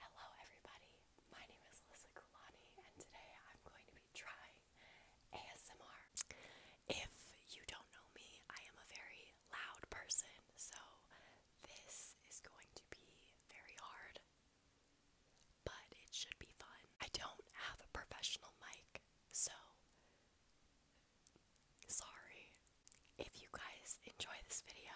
Hello everybody, my name is Lisa Kulani and today I'm going to be trying ASMR. If you don't know me, I am a very loud person, so this is going to be very hard, but it should be fun. I don't have a professional mic, so Sorry. If you guys enjoy this video,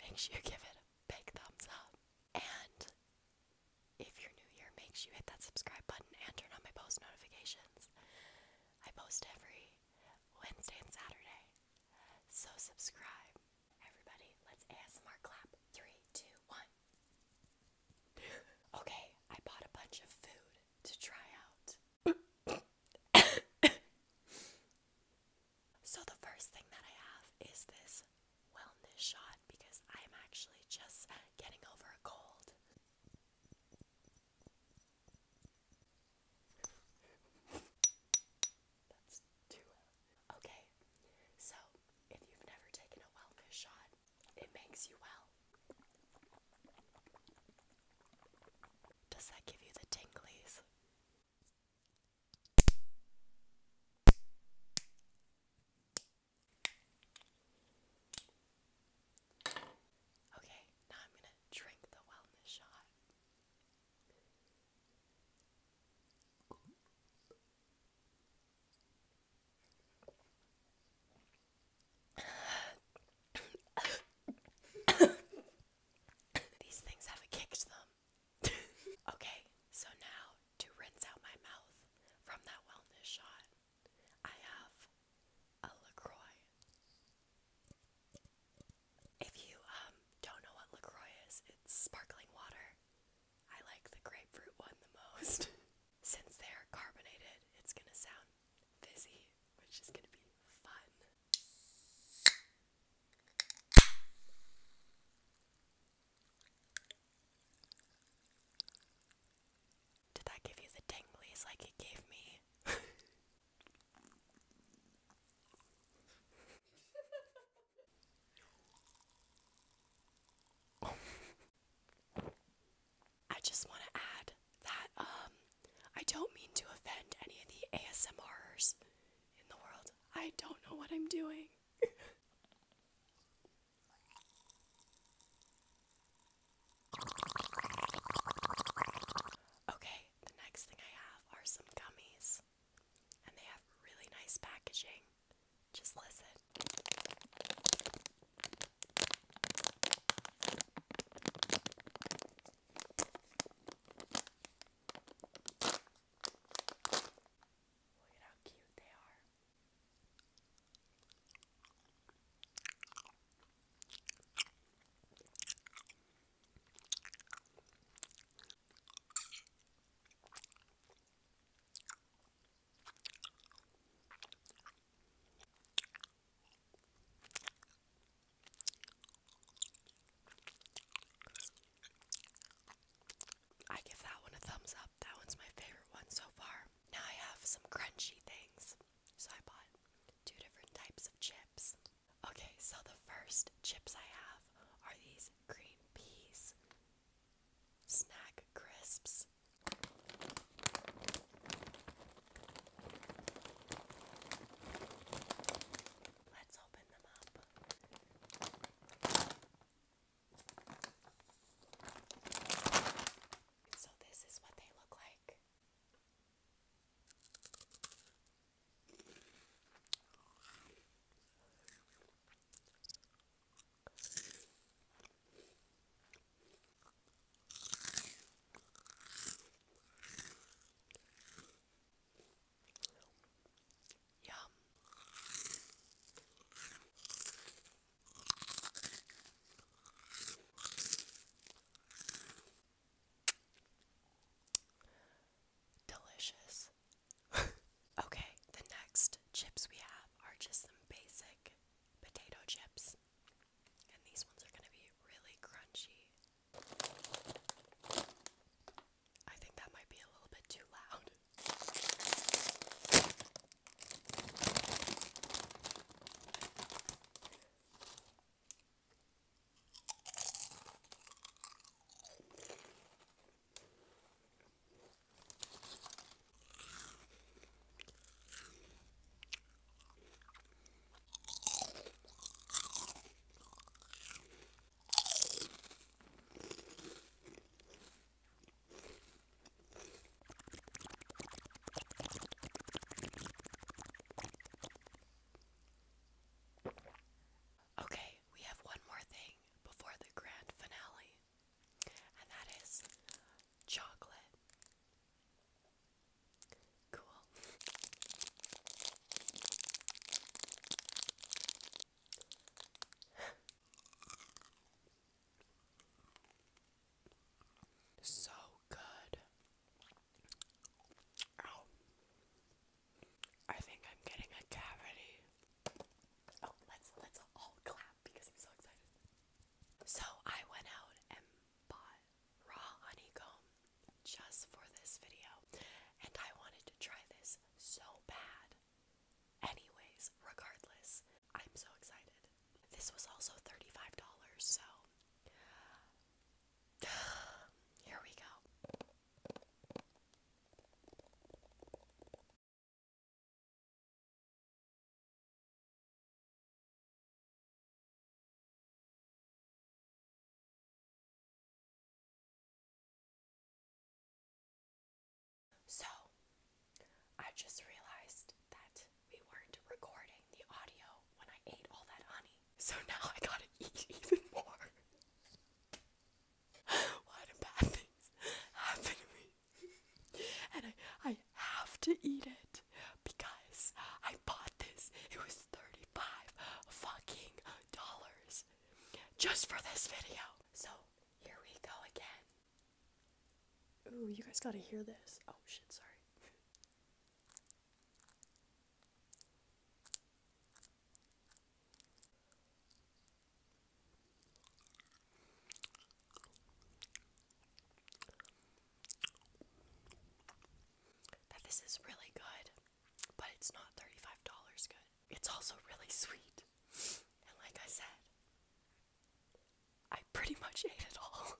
make sure you give it a big thumbs up. And if you're new here, make sure you hit that subscribe button and turn on my post notifications. I post every Wednesday and Saturday. So subscribe. Everybody, let's ASMR clap. Three, two, one. okay, I bought a bunch of food to try out so, the first thing that I have is this wellness shot because I'm actually just getting over a cold. Okay, so if you've never taken a wellness shot, it makes you well. Does that give you the tinglies? Okay, now I'm going to drink the wellness shot. These things haven't kicked them. okay, so now to rinse out my mouth from that wellness shot, I have a LaCroix. If you um don't know what LaCroix is, it's sparkling water. I like the grapefruit one the most. Since they're carbonated, it's gonna sound fizzy, which is gonna be fun. Did that give you the tinglies like it gave me? I just want to add that um, I don't mean to offend any of the ASMRs in the world. I don't know what I'm doing. okay, the next thing I have are some gummies, and they have really nice packaging. Just listen. Look at how cute they are. I give that one a thumbs up. That one's my favorite one so far. Now I have some crunchy things. So I bought two different types of chips. Okay, so the first chips I have are these green peas. Snack crisps. Let's open them up. So, this is what they look like. Yum. Delicious. okay, the next chips we have are just some basic potato chips. And these ones are going to be really crunchy. I think that might be a little bit too loud. Okay, we have one more thing before the grand finale and that is chocolate. Cool. so good. Ow. I think I'm getting a cavity. Oh, let's let's all clap because I'm so excited. So I went out and bought raw honeycomb just for this video, and I wanted to try this so bad. Anyways, regardless, I'm so excited. This was also $35, so here we go. So, I just realized that we weren't recording the audio when I ate all that honey. So now I gotta eat even more. Why do bad things happen to me? and I, I have to eat it because I bought this. It was 35 fucking dollars just for this video. So here we go again. Ooh, you guys gotta hear this. Oh shit, sorry. That this is really good, but it's not $35 good. It's also really sweet. And like I said, I pretty much ate it all.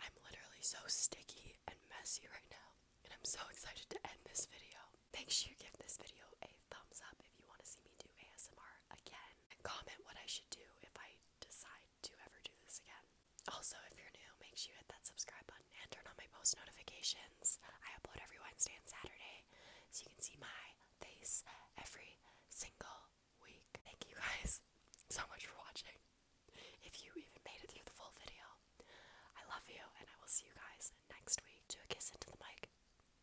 I'm literally so sticky and messy right now, and I'm so excited to end this video. Make sure you give this video a thumbs up if you want to see me do ASMR again comment what I should do if I decide to ever do this again. Also, if you're new, make sure you hit that subscribe button and turn on my post notifications. I upload every Wednesday and Saturday so you can see my face every single week. Thank you guys so much for watching. If you even made it through the full video, I love you and I will see you guys next week. Do a kiss into the mic.